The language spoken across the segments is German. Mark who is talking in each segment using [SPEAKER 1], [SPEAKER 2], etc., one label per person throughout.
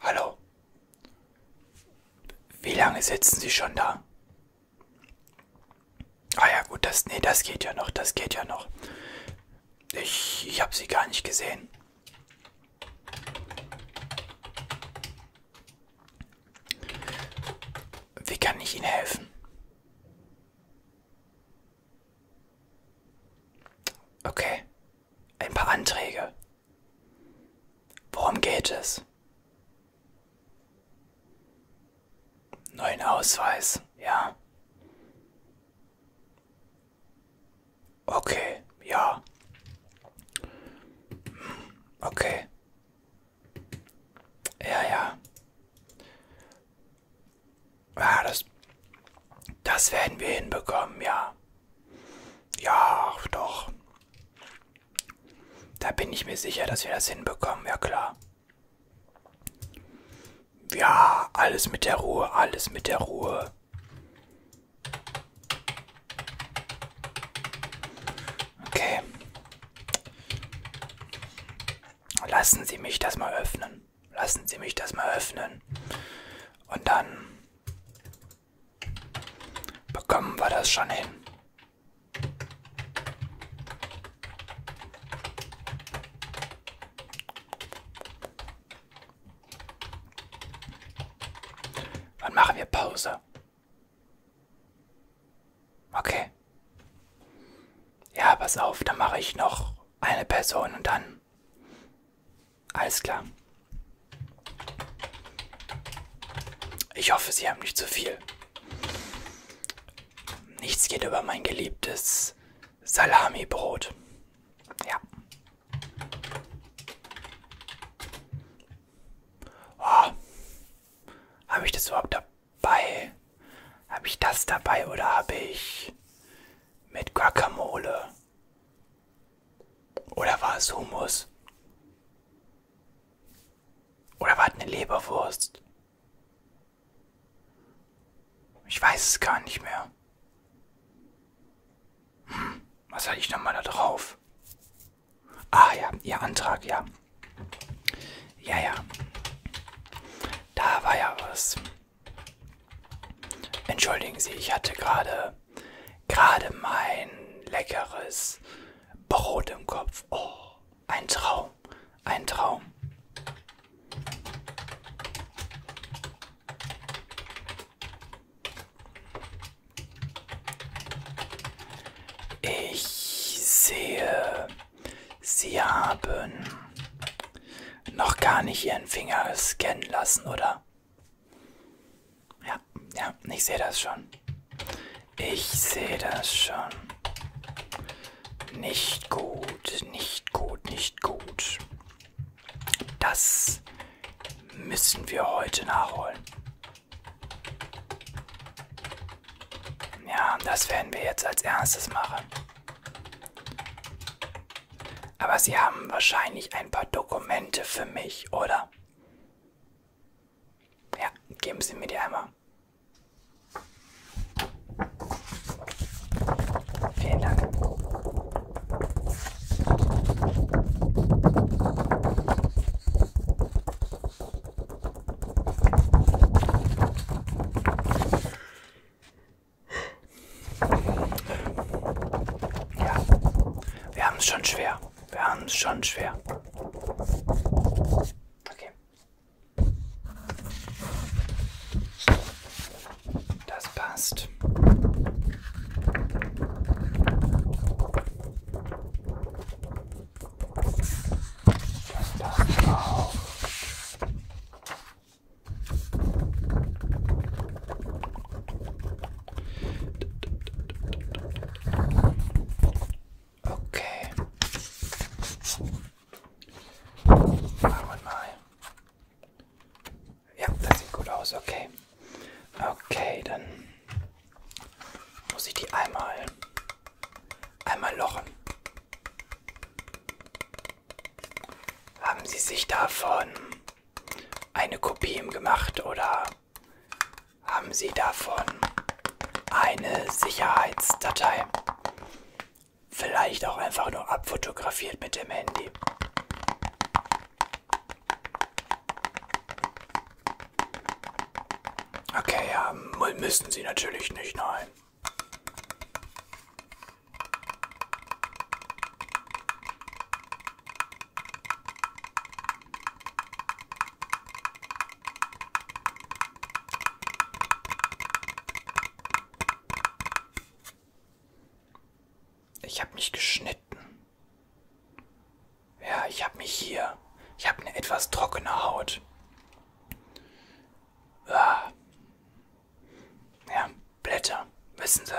[SPEAKER 1] Hallo. Wie lange sitzen Sie schon da? Ah ja, gut, das nee, das geht ja noch, das geht ja noch. Ich, ich habe sie gar nicht gesehen. Wie kann ich Ihnen helfen? Okay, ein paar Anträge. Worum geht es? Neuen Ausweis, ja. Okay, ja. Okay. Ja, ja. Ja, ah, das, das werden wir hinbekommen, ja. Ja, doch. Da bin ich mir sicher, dass wir das hinbekommen, ja klar. Ja, alles mit der Ruhe, alles mit der Ruhe. Okay. Lassen Sie mich das mal öffnen. Lassen Sie mich das mal öffnen. Und dann bekommen wir das schon hin. Wann machen wir Pause? Okay. Ja, pass auf, dann mache ich noch eine Person und dann alles klar. Ich hoffe, Sie haben nicht zu viel. Nichts geht über mein geliebtes Salami-Brot. Ja. Oh. Habe ich das überhaupt dabei? Habe ich das dabei oder habe ich mit Guacamole. Oder war es Hummus? Oder war es eine Leberwurst? Ich weiß es gar nicht mehr. Hm, was hatte ich nochmal da drauf? Ah ja, ihr Antrag, ja. Ja, ja. Da war ja was. Entschuldigen Sie, ich hatte gerade gerade mein leckeres Brot im Kopf. Oh, ein Traum, ein Traum. Ich sehe, Sie haben noch gar nicht ihren Finger scannen lassen, oder? Ja, ja, ich sehe das schon. Ich sehe das schon. Nicht gut, nicht gut, nicht gut. Das müssen wir heute nachholen. Ja, das werden wir jetzt als erstes machen. Aber Sie haben wahrscheinlich ein paar Dokumente für mich, oder? Ja, geben Sie mir die einmal. Vielen Dank. Ja, wir haben es schon schwer. Wir haben es schon schwer. Okay. Das passt. Das passt auch. Okay. Machen mal. Ja, das sieht gut aus, okay. Okay, dann muss ich die einmal einmal lochen. Haben Sie sich davon eine Kopie gemacht oder haben Sie davon eine Sicherheitsdatei? Vielleicht auch einfach nur abfotografiert mit dem Handy. Okay, ja, müssen Sie natürlich nicht, nein. Ich habe mich geschnitten. Ja, ich habe mich hier. Ich habe eine etwas trockene Haut. Ah. Ja, Blätter, wissen Sie.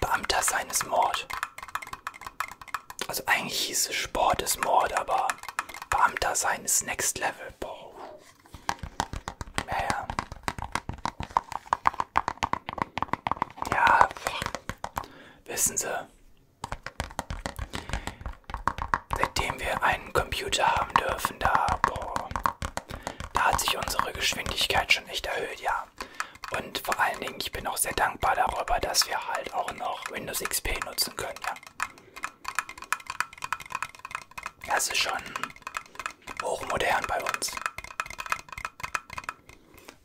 [SPEAKER 1] Beamter sein ist Mord. Also eigentlich hieß es Sport ist Mord, aber Beamter sein ist Next Level. Boah. Ja, ja. Ja, wissen Sie. Seitdem wir einen Computer haben dürfen, da, boah, da hat sich unsere Geschwindigkeit schon echt erhöht, ja. Und vor allen Dingen, ich bin auch sehr dankbar darüber, dass wir halt auch noch Windows XP nutzen können, ja. Das ist schon hochmodern bei uns.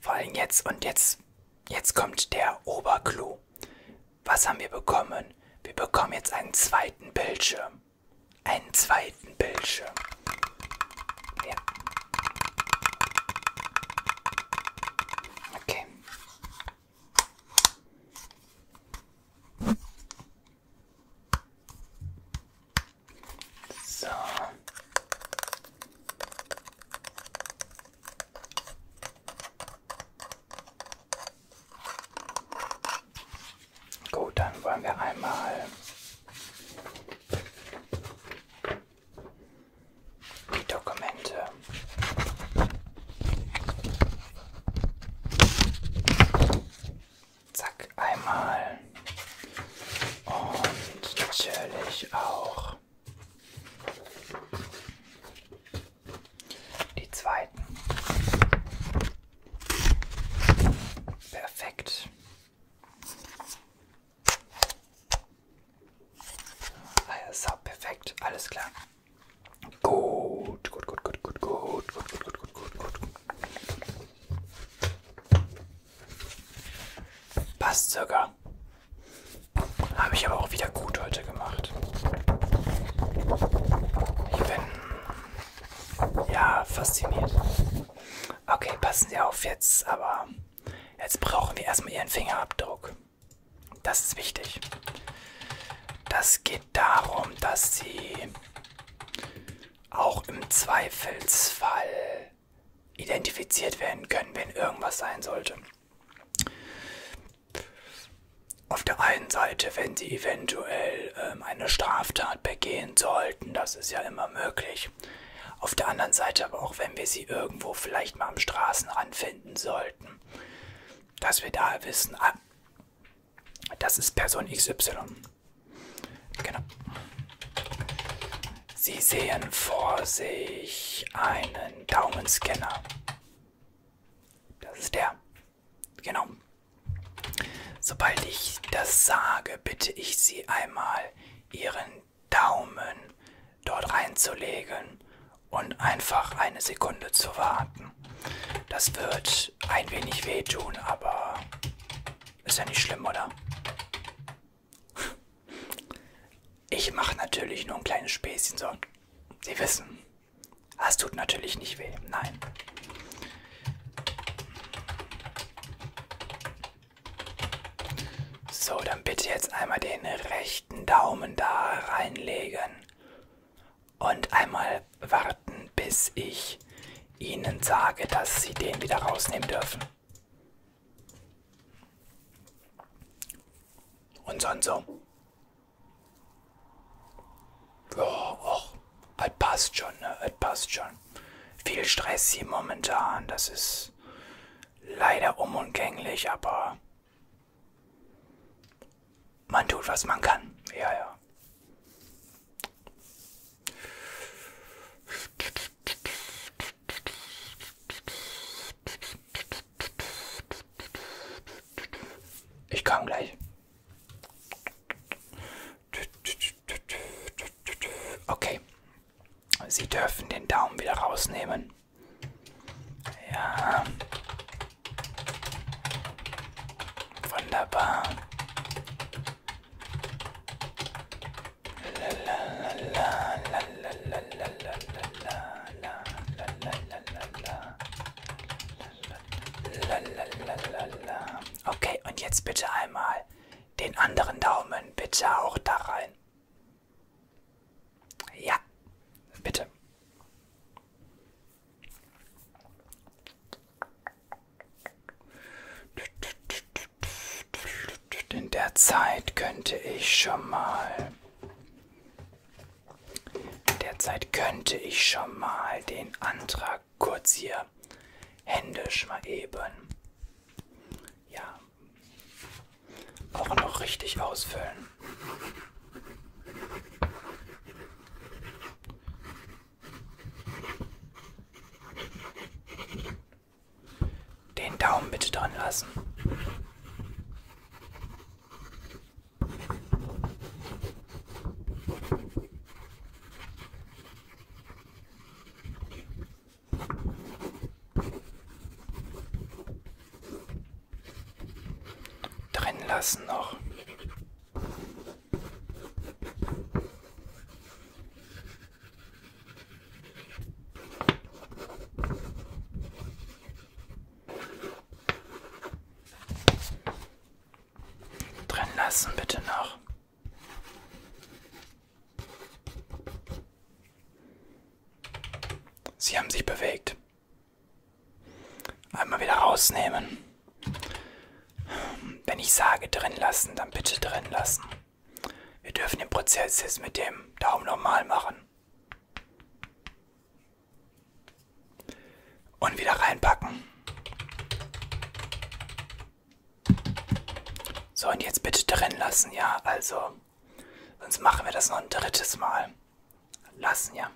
[SPEAKER 1] Vor allem jetzt und jetzt, jetzt kommt der Oberclou. Was haben wir bekommen? Wir bekommen jetzt einen zweiten Bildschirm. Einen zweiten Bildschirm. Ja. Okay. So. Gut, dann wollen wir einmal die Dokumente zack einmal und natürlich auch die zweiten. Perfekt. Ah, ist auch perfekt, alles klar. Gut, gut, gut, gut, gut, gut, gut, gut, gut, gut, gut, gut. Passt sogar. Habe ich aber auch wieder gut heute. Schritte gemacht. Ich bin ja fasziniert. Okay, passen Sie auf jetzt, aber jetzt brauchen wir erstmal Ihren Fingerabdruck. Das ist wichtig. Das geht darum, dass Sie auch im Zweifelsfall identifiziert werden können, wenn irgendwas sein sollte auf der einen Seite, wenn sie eventuell ähm, eine Straftat begehen sollten, das ist ja immer möglich. Auf der anderen Seite aber auch, wenn wir sie irgendwo vielleicht mal am Straßenrand finden sollten, dass wir da wissen, ah, das ist Person XY. Genau. Sie sehen vor sich einen Daumenscanner. Das ist der. Genau. Sobald ich das sage, bitte ich Sie einmal, Ihren Daumen dort reinzulegen und einfach eine Sekunde zu warten. Das wird ein wenig wehtun, aber ist ja nicht schlimm, oder? Ich mache natürlich nur ein kleines Späßchen, so. Sie wissen. Das ah, tut natürlich nicht weh, nein. So, dann bitte jetzt einmal den rechten Daumen da reinlegen und einmal warten, bis ich Ihnen sage, dass Sie den wieder rausnehmen dürfen. Und sonst so. Ja, auch. Es passt schon, ne? Es passt schon. Viel Stress hier momentan. Das ist leider unumgänglich, aber man tut, was man kann. Ja, ja. Ich komme gleich. Okay. Sie dürfen den Daumen wieder rausnehmen. Ja. Wunderbar. Lalalala. Okay, und jetzt bitte einmal den anderen Daumen bitte auch da rein. Ja, bitte. In der Zeit könnte ich schon mal Derzeit könnte ich schon mal den Antrag kurz hier händisch mal eben. Ja. Auch noch richtig ausfüllen. Den Daumen bitte dran lassen. Drin lassen noch. Drin lassen bitte noch. Sie haben sich bewegt. Einmal wieder rausnehmen. Wenn ich sage drin lassen, dann bitte drin lassen. Wir dürfen den Prozess jetzt mit dem Daumen normal machen. Und wieder reinpacken. So, und jetzt bitte drin lassen, ja? Also, sonst machen wir das noch ein drittes Mal. Lassen, ja?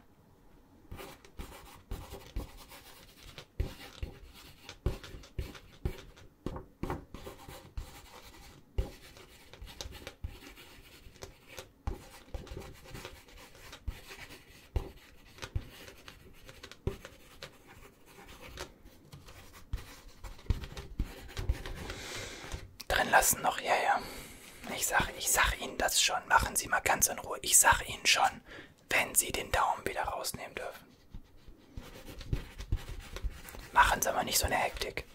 [SPEAKER 1] Drin lassen noch, ja, ja. Ich sag, ich sag Ihnen das schon. Machen Sie mal ganz in Ruhe. Ich sag Ihnen schon, wenn Sie den Daumen wieder rausnehmen dürfen. Machen Sie mal nicht so eine Hektik.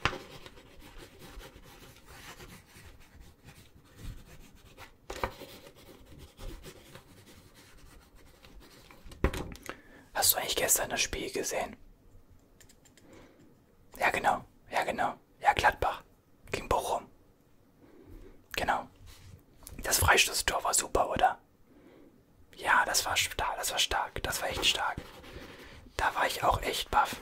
[SPEAKER 1] Hast du eigentlich gestern das Spiel gesehen? Ja, genau. Ja, genau. Ja, Gladbach. Gegen Bochum. Genau. Das Freistoßtor war super, oder? Ja, das war stark. Das war stark. Das war echt stark. Da war ich auch echt baff.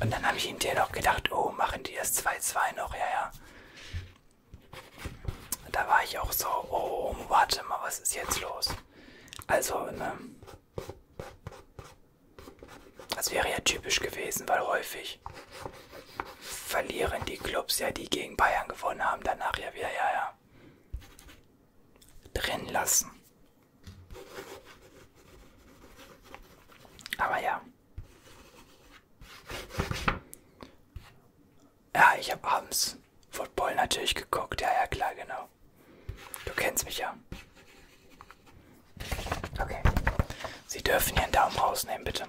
[SPEAKER 1] Und dann habe ich hinterher noch gedacht, oh, machen die das 2-2 noch, ja, ja. Da war ich auch so, oh, warte mal, was ist jetzt los? Also, ne? Das wäre ja typisch gewesen, weil häufig verlieren die Clubs ja, die gegen Bayern gewonnen haben, danach ja wieder, ja, ja. Drin lassen. Aber ja. Ja, ich habe abends Football natürlich geguckt. Ja, ja, klar, genau. Du kennst mich ja. Okay. Sie dürfen Ihren Daumen rausnehmen, bitte.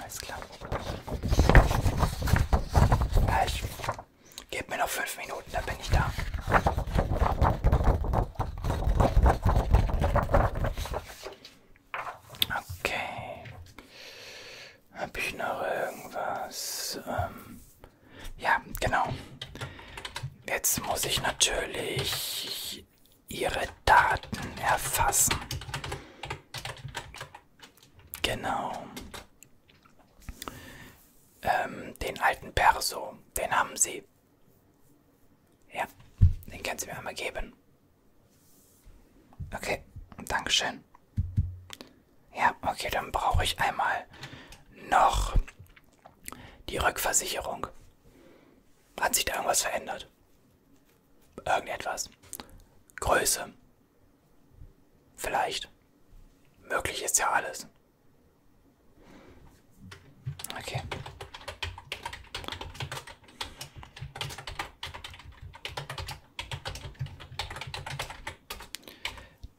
[SPEAKER 1] Alles klar. Ja, ich gebe mir noch fünf Minuten. Minuten, dann bin ich da. Okay. Hab ich noch irgendwas? Ähm ja, genau. Jetzt muss ich natürlich ihre Daten erfassen. Genau. Ähm, den alten Perso, den haben sie. Ja, den kannst du mir einmal geben. Okay, Dankeschön. Ja, okay, dann brauche ich einmal noch die Rückversicherung. Hat sich da irgendwas verändert? Irgendetwas. Größe. Vielleicht. Möglich ist ja alles. Okay.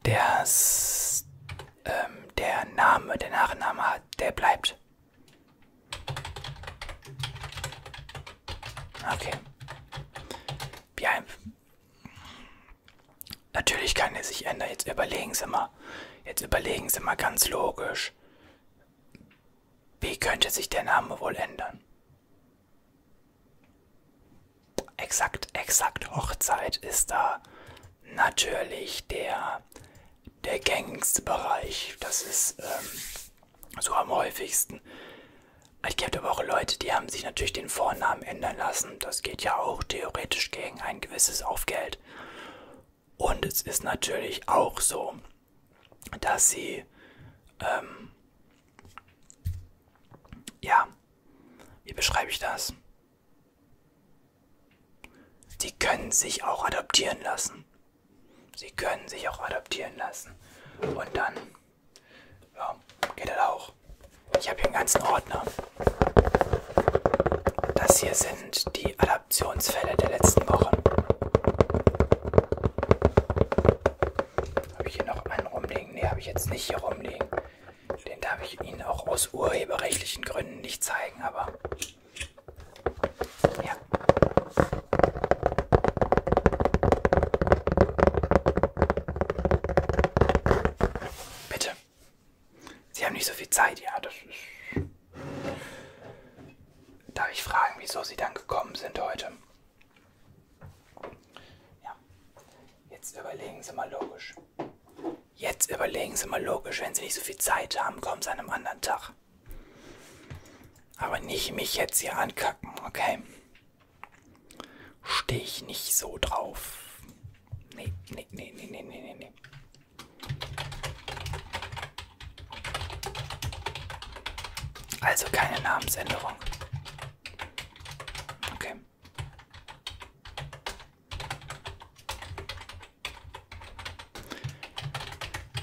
[SPEAKER 1] Das, ähm, der Name, der Nachname, der bleibt. Okay. Ja, Natürlich kann er sich ändern. Jetzt überlegen Sie mal. Jetzt überlegen Sie mal ganz logisch. Wie könnte sich der Name wohl ändern? Exakt, exakt. Hochzeit ist da natürlich der, der gängigste Bereich. Das ist ähm, so am häufigsten. Ich kenne aber auch Leute, die haben sich natürlich den Vornamen ändern lassen. Das geht ja auch theoretisch gegen ein gewisses Aufgeld. Welt. Und es ist natürlich auch so, dass sie ähm, ja, wie beschreibe ich das? Sie können sich auch adoptieren lassen. Sie können sich auch adoptieren lassen. Und dann ja, geht das auch. Ich habe hier einen ganzen Ordner. Das hier sind die Adaptionsfälle der letzten Wochen. Habe ich hier noch einen rumliegen? Ne, habe ich jetzt nicht hier rumliegen. Den darf ich Ihnen auch aus urheberrechtlichen Gründen nicht zeigen, aber ja. Bitte. Sie haben nicht so viel Zeit, ja, das ist... Darf ich fragen, wieso Sie dann gekommen sind heute? Ja, jetzt überlegen Sie mal logisch. Jetzt überlegen Sie mal logisch, wenn Sie nicht so viel Zeit haben, kommen Sie an einem anderen Tag. Aber nicht mich jetzt hier ankacken, okay? Stehe ich nicht so drauf. Nee, nee, nee, nee, nee, nee, nee. Also keine Namensänderung. Okay.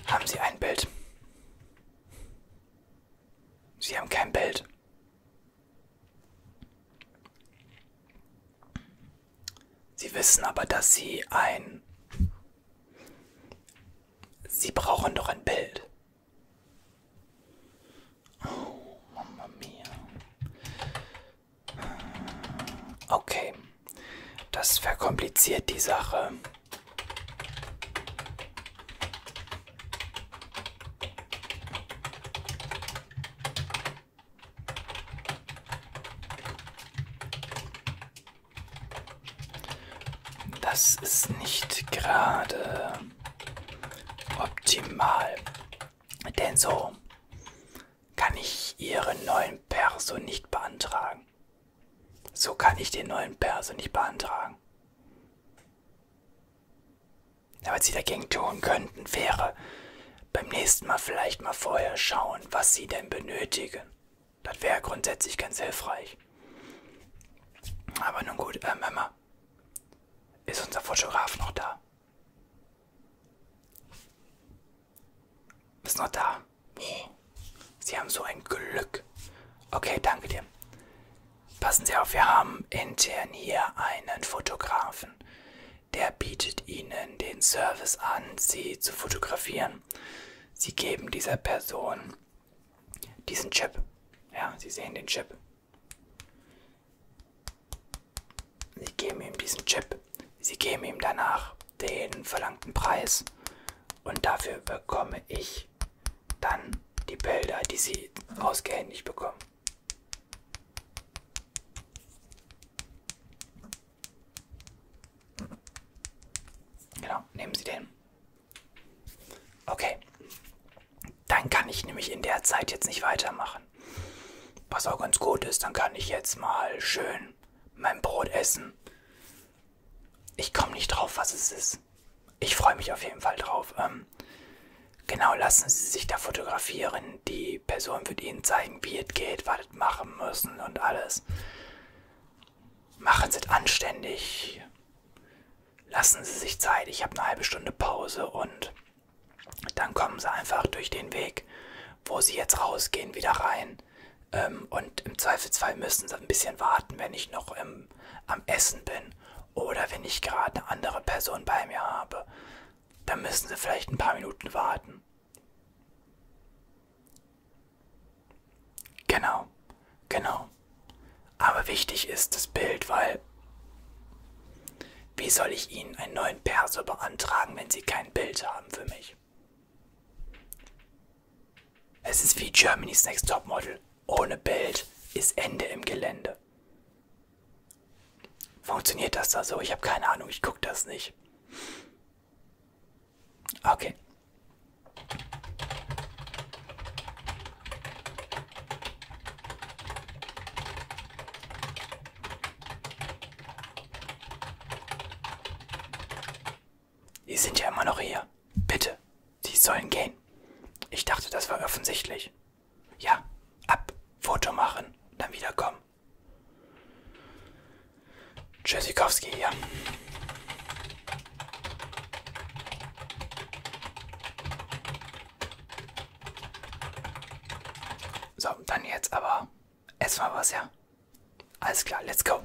[SPEAKER 1] Haben Sie ein Bild? Sie haben kein Bild. Sie wissen aber, dass Sie ein... Sie brauchen doch ein Bild. Oh, Mama mia. Okay, das verkompliziert die Sache. Das ist nicht gerade optimal, denn so kann ich Ihren neuen Perso nicht beantragen. So kann ich den neuen Perso nicht beantragen was sie dagegen tun könnten, wäre beim nächsten Mal vielleicht mal vorher schauen, was sie denn benötigen. Das wäre grundsätzlich ganz hilfreich. Aber nun gut, ähm, Emma, ist unser Fotograf noch da? Ist noch da? Boah, sie haben so ein Glück. Okay, danke dir. Passen Sie auf, wir haben intern hier einen Fotografen der bietet ihnen den Service an, sie zu fotografieren. Sie geben dieser Person diesen Chip. Ja, Sie sehen den Chip. Sie geben ihm diesen Chip. Sie geben ihm danach den verlangten Preis. Und dafür bekomme ich dann die Bilder, die Sie ausgehändigt bekommen. Genau, nehmen Sie den. Okay. Dann kann ich nämlich in der Zeit jetzt nicht weitermachen. Was auch ganz gut ist, dann kann ich jetzt mal schön mein Brot essen. Ich komme nicht drauf, was es ist. Ich freue mich auf jeden Fall drauf. Ähm, Genau, lassen Sie sich da fotografieren. Die Person wird Ihnen zeigen, wie es geht, was es machen müssen und alles. Machen Sie es anständig. Lassen Sie sich Zeit. Ich habe eine halbe Stunde Pause und dann kommen Sie einfach durch den Weg, wo Sie jetzt rausgehen, wieder rein. Ähm, und im Zweifelsfall müssen Sie ein bisschen warten, wenn ich noch im, am Essen bin oder wenn ich gerade eine andere Person bei mir habe dann müssen Sie vielleicht ein paar Minuten warten. Genau, genau. Aber wichtig ist das Bild, weil wie soll ich Ihnen einen neuen Perso beantragen, wenn Sie kein Bild haben für mich? Es ist wie Germany's Next Topmodel. Ohne Bild ist Ende im Gelände. Funktioniert das da so? Ich habe keine Ahnung, ich gucke das nicht. Okay. Die sind ja immer noch hier. Bitte, die sollen gehen. Ich dachte, das war offensichtlich. Ja, ab, Foto machen, dann wiederkommen. Tschüssikowski hier. So, dann jetzt aber erstmal was, ja? Alles klar, let's go.